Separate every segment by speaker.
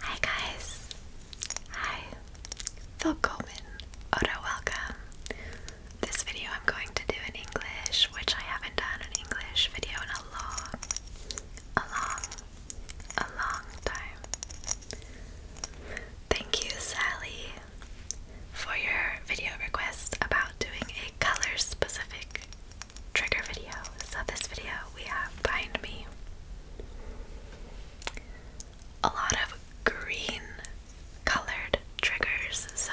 Speaker 1: Hi guys! Hi! Phil Coleman. Oda, welcome! This video I'm going to do in English, which I haven't done an English video in a long, a long, a long time. Thank you, Sally, for your video request about doing a color specific trigger video. So, this video we have Find Me a lot of green colored triggers, so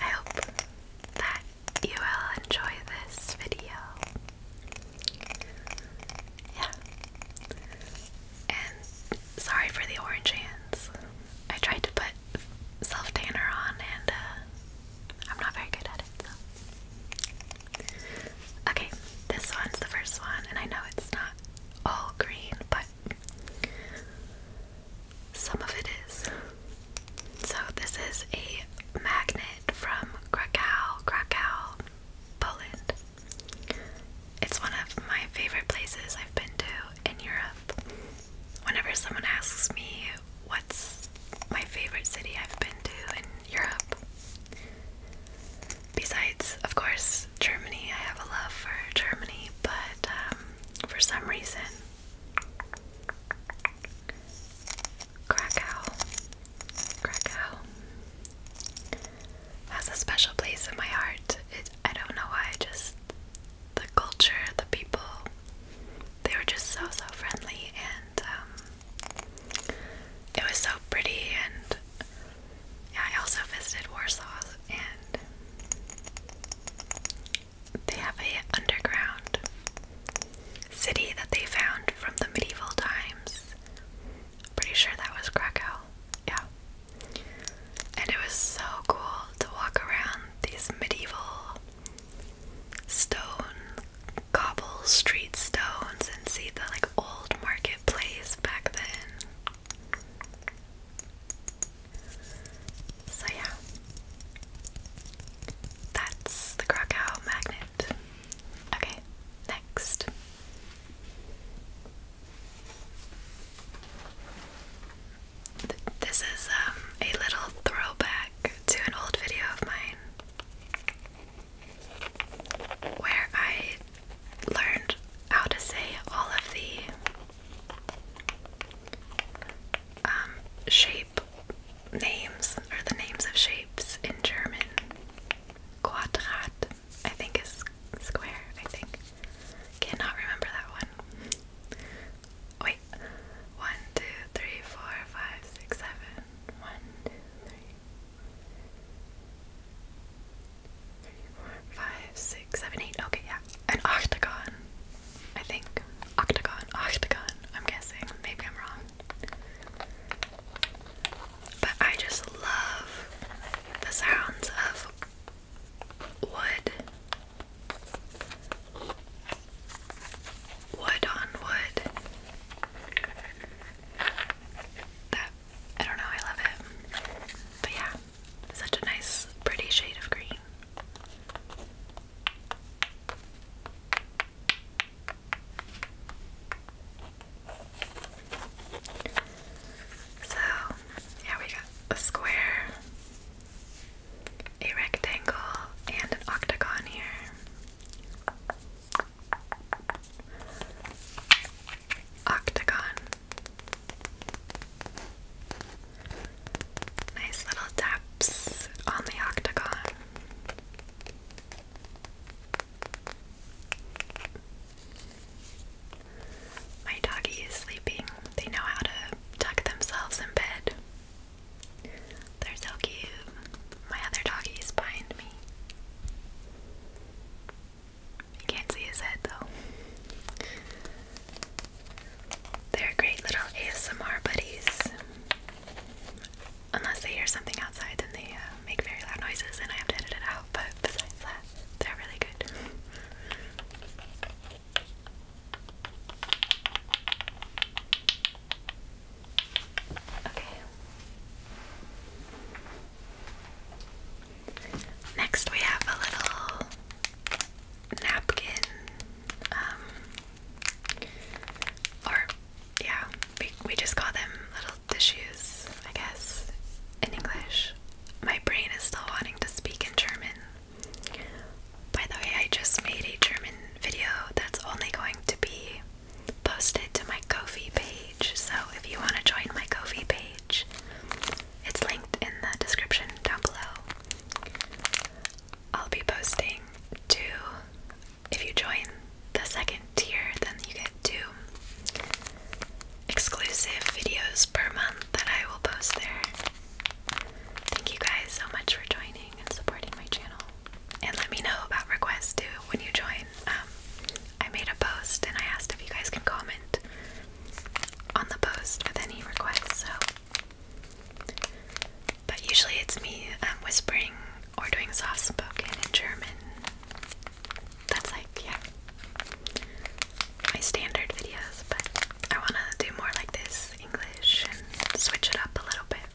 Speaker 1: I hope that you will enjoy this video. Yeah. And sorry for the orange hands. I tried to put self tanner on and uh, I'm not very good at it, Okay, this one's the first one, and I know it's not all green, but some of it is. So, this is a magnet from Krakow, Krakow, Poland. It's one of my favorite places I've been to in Europe. Whenever someone asks me what's my favorite city I've been to in Europe, Besides, of course, Germany. I have a love for Germany, but um, for some reason, Krakow, Krakow has a special place in my heart. It, I don't know why. Just the culture, the people. They were just so so friendly, and um, it was so pretty, and yeah, I also visited Warsaw, and they have a underground city that they found from the medieval times. Pretty sure that was Krakow, yeah. And it was so cool to walk around these medieval stone cobble street stones and see the like old marketplace back then. So yeah. That's the Krakow magnet. Okay, next. this is um, a little throwback to an old video of mine where I learned how to say all of the um, shape names or the names of shapes in German. Quadrat, I think, is square, I think. Cannot remember that one wait. One, two, three, four, five, six, seven. One, two, three. Three, four, five, six, seven, eight. Okay, yeah. An octagon. I think. Octagon. Octagon. I'm guessing. Maybe I'm wrong. But I just love the sounds of wood wood on wood. That I don't know, I love it. But yeah, such a nice, pretty shade of green. So, yeah, we got a square, a rectangle and an octagon here. Octagon. Nice little taps on the octagon. My doggy is sleeping. They know how to tuck themselves in bed. They're so cute. My other doggies behind me. You can't see his head though. They're great little ASMR buddies. Unless they hear something outside, then they uh, make very loud noises and I have to edit it out, but besides that, they're really good. Okay. Next, we have a little napkin. Um, or, yeah, we, we just call them little tissues, I guess, in English. My brain is still wanting to speak in German, by the way, I just made a German video that's only going to be posted to my ko page. So if you want to join my ko page, it's linked in the description down below. I'll be posting to If you join the second tier, then you get two exclusive videos per month that I will post there. Thank you guys so much for joining and supporting my channel. And let me know about requests too when you join. Um, I made a post and I asked if you guys can comment on the post with any requests. So, but usually it's me um, whispering or doing soft spoken in German. That's like yeah, my standard videos, but I want to do more like this English and switch it up a little bit.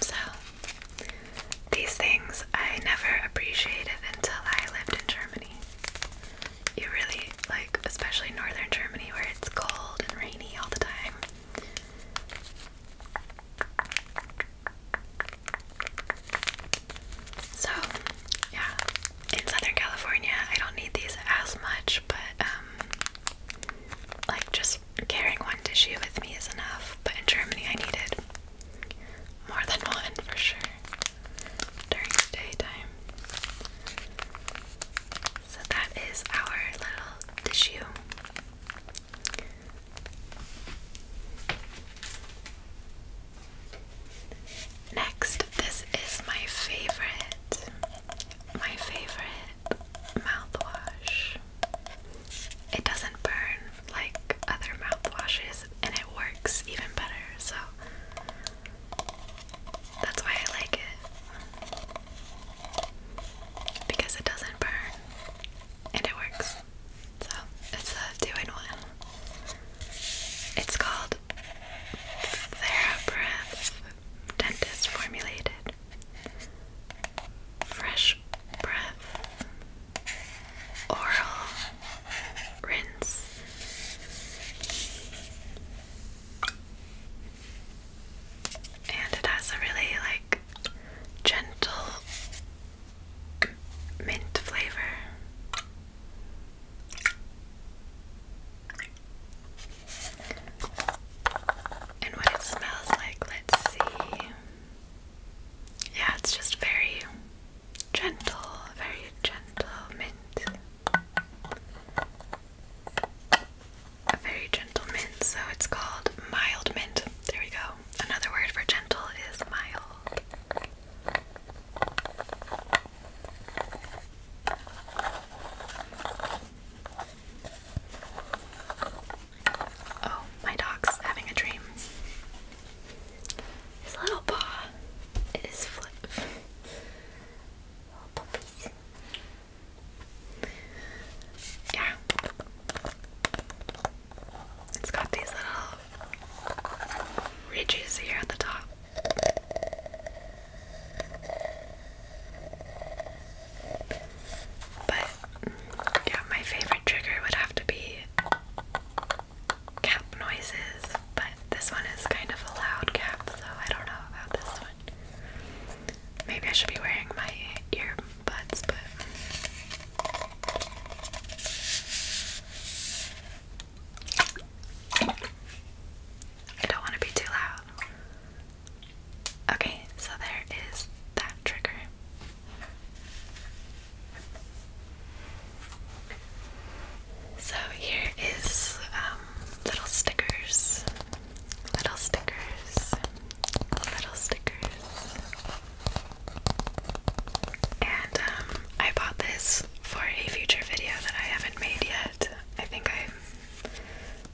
Speaker 1: So, these things I never appreciated until I lived in Germany. You really, like, especially northern Germany where it's cold and rainy all the time. So, yeah, in Southern California, I don't need these as much, but um, like just carrying one tissue with me is enough. But in Germany, I needed more than one for sure during the daytime. So that is our little tissue. Next, this is my favorite, my favorite mouthwash. It doesn't burn like other mouthwashes and it works even better, so that's why I like it. Because it doesn't burn and it works. So it's a one. It's called TheraBreath Dentist Formulated Fresh Breath Oral Rinse. And it has a really like gentle mint flavor. And what it smells like, let's see. Yeah, it's just very gentle, very gentle mint. A very gentle mint, so it's called mild mint. There we go another word for gentle is mild. Oh, my dog's having a dream. His little paw is flip. Yeah. It's got these little ridges here at the top. But yeah, my favorite trigger would have to be cap noises, but this one is kind of a loud cap, so I don't know about this one. Maybe I should be wearing my ear butts, but I don't want to be too loud. Okay, so there is that trigger. So here is um, little stickers, little stickers, little stickers. And um, I bought this for a future video that I haven't made yet. I think I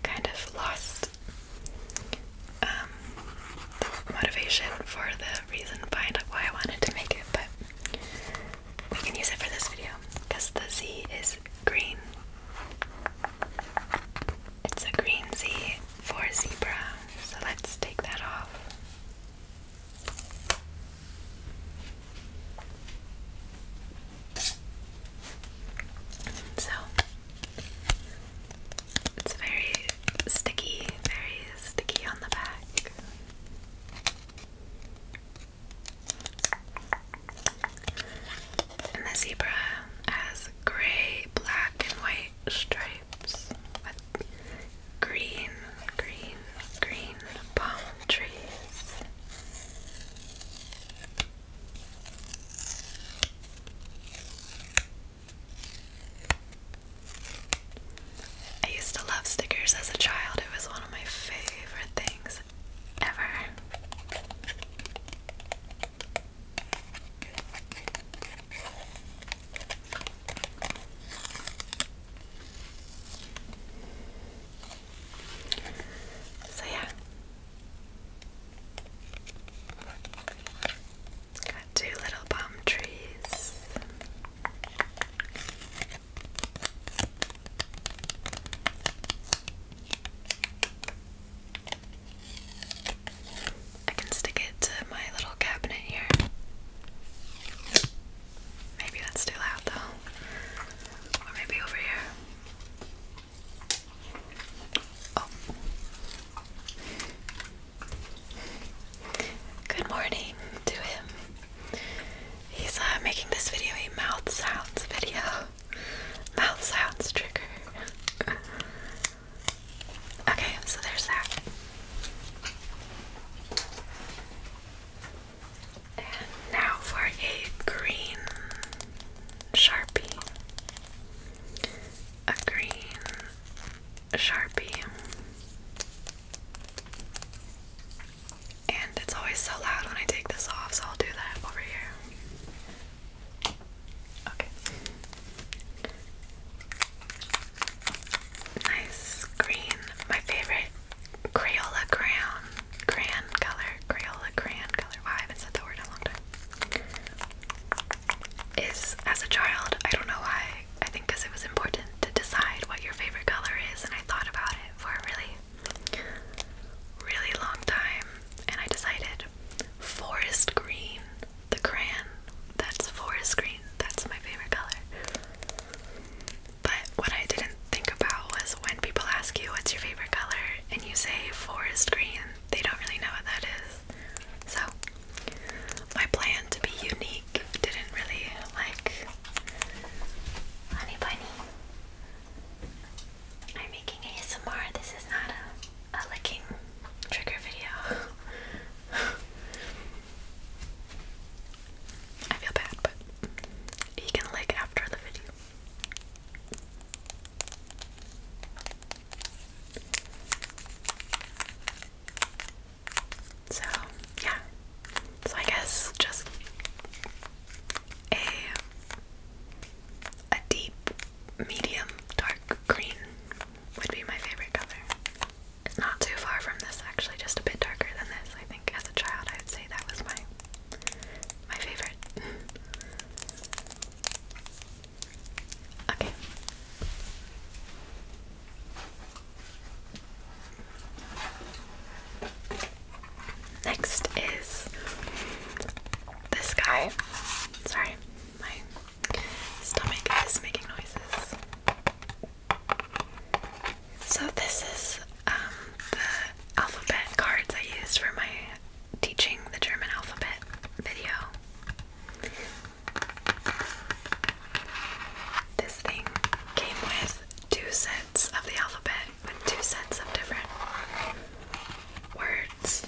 Speaker 1: kind of lost um, motivation for the reason behind why I wanted to make it, but we can use it for this video because the Z is green. It's a green Z for zebra, so let's take that off. So it's very sticky, very sticky on the back. And the zebra has gray, black, and white stripes with green, green, green palm trees. I used to love stickers as a child. It was one of my favorite things ever. So yeah. Got two little palm trees. I can stick it to my little cabinet here. Maybe that's too loud though. Or maybe over here. Oh. Good morning to him. He's uh, making this video a mouth sounds video mouth sounds trigger. okay, so there's that. And now for a green sharpie. A green sharpie. And it's always so loud when I take this off, so I'll do that over here. Okay. Nice green. My favorite Crayola crayon. Crayon color. Crayola crayon color. Wow, I haven't said that word in a long time. Is as a child, I don't know why. I think because it was important to decide what your favorite color is, and I thought about it for a really, really long time, and I decided Forest green, the crayon. That's forest green. That's my favorite color. But what I didn't think about was when people ask you what's your favorite color and you say forest green, they don't really know what that is. So, my plan to be unique didn't really like honey bunny. I'm making ASMR. This is not a, a licking trigger video. I feel bad, but you can lick after the video. So, yeah. So, I guess just a a deep medium dark green would be my favorite color. not too far from this actually, just a bit darker than this. I think as a child I would say that was my my favorite. okay. Next is this guy. Sorry, my stomach is making noises. So this is um, the alphabet cards I used for my teaching the German alphabet video. This thing came with two sets of the alphabet with two sets of different words.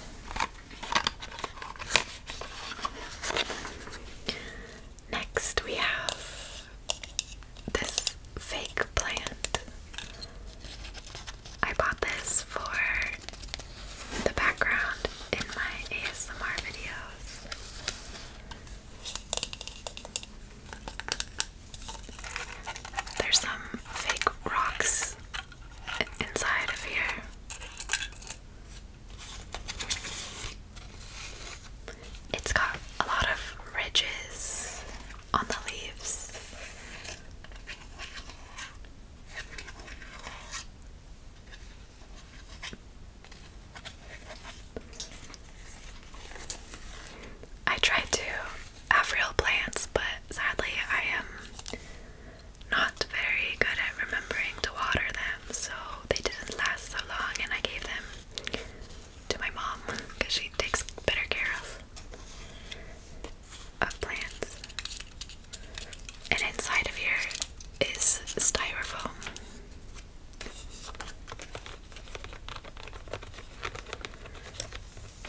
Speaker 1: Next, we have this fake plant. I bought this for the background in my ASMR videos. There's some fake rocks inside of here. It's got a lot of ridges on the leaves. I tried to have real plants, but sadly I am not very good at remembering to water them, so they didn't last so long and I gave them to my mom because she takes better care of of plants. And inside of here is styrofoam.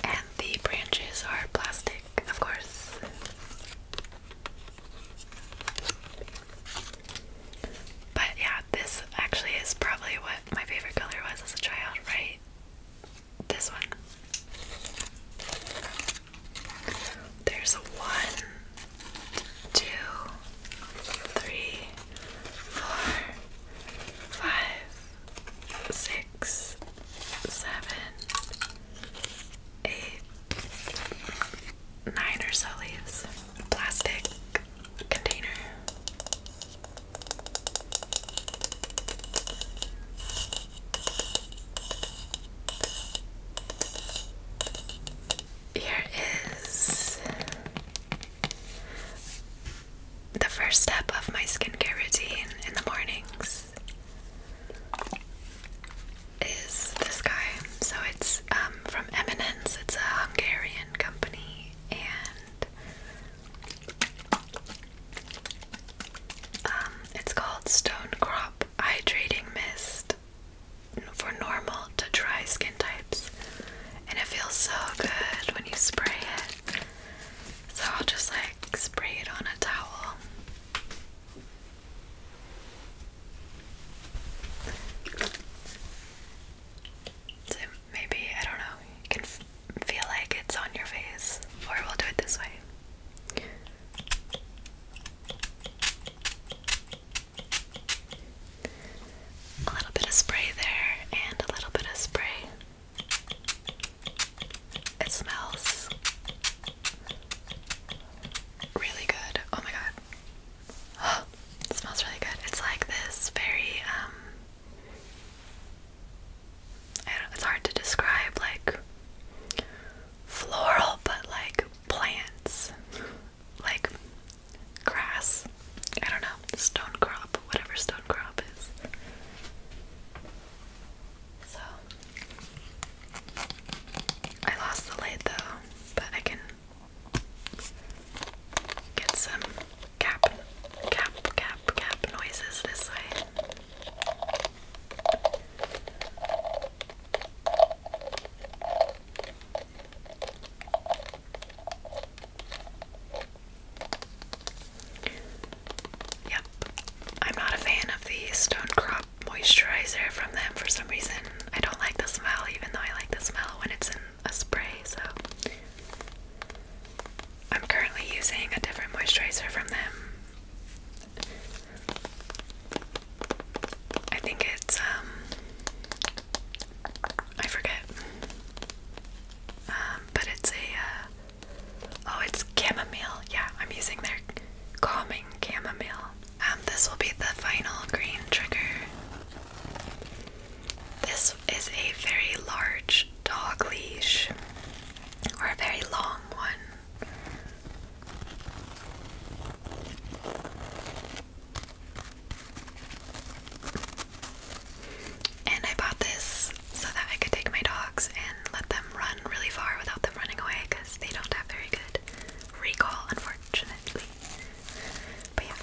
Speaker 1: And the branches are plastic, of course. But yeah, this actually is probably what my favorite color was as a child, right? This one. There's one, two, three, four, five, six, seven, eight, nine or so leaves. Plastic container. Here is the first step of my skincare routine in the mornings is this guy. So it's um, from Eminence, it's a Hungarian company, and um, it's called Stone Crop Hydrating Mist for normal to dry skin types. And it feels so good when you spray it. So I'll just like spray it on a towel. maybe, I don't know, you can feel like it's on your face, or we'll do it this way. A little bit of spray there, and a little bit of spray. It smells really good. Oh my god. it smells really good. It's like this very, um, it's hard to describe, like floral, but like plants. Like grass. I don't know, stone crop, whatever stone crop is. So I lost the light though, but I can get some cap, cap, cap, cap noises this way. Yep, I'm not a fan of the Stone Crop moisturizer from them for some reason. I don't like the smell, even though I like the smell when it's in a spray, so. I'm currently using a different moisturizer from them. I think it's um I forget. Um, but it's a, uh, oh, it's chamomile. Yeah, I'm using their calming chamomile. Um, this will be the final green trigger. This is a very large dog leash, or a very long one. And I bought this so that I could take my dogs and let them run really far without them running away because they don't have very good recall, unfortunately. But yeah.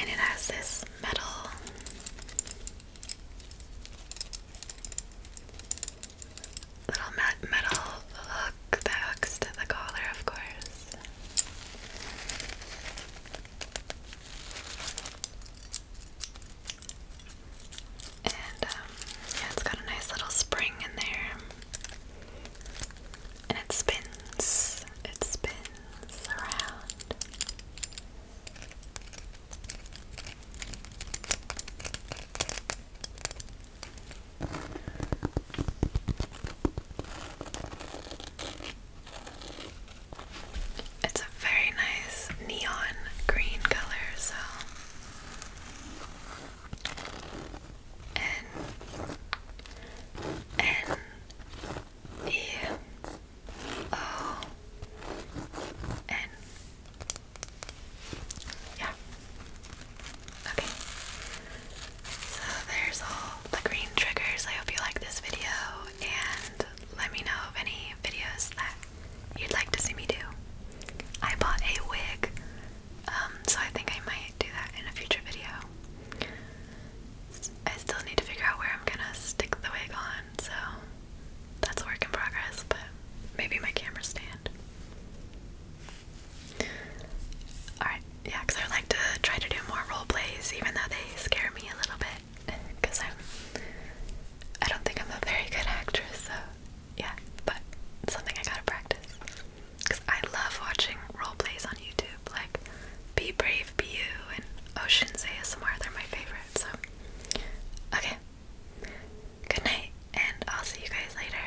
Speaker 1: And it has this metal. Little metal hook hooks to the collar, of course. And um, yeah, it's got a nice little spring in there. And it spins. It spins around. It's a very nice neon green color, so N N E O N. Yeah. Okay. So there's all the green triggers. I hope you like this video and let me know of any videos that you'd like to see me do. I bought a wig, um, so I think I might do that in a future video. I still need to figure out where I'm gonna stick the wig on, so that's a work in progress, but maybe my camera stand. Alright, yeah, because I like to try to do more role plays, even though they scare me a little bit. Because I'm. I don't think I'm a very good actress, so yeah, but something I gotta practice. Because I love watching role plays on YouTube, like Be Brave, Be You, and Ocean's ASMR, they're my favorite, so. Okay. Good night, and I'll see you guys later.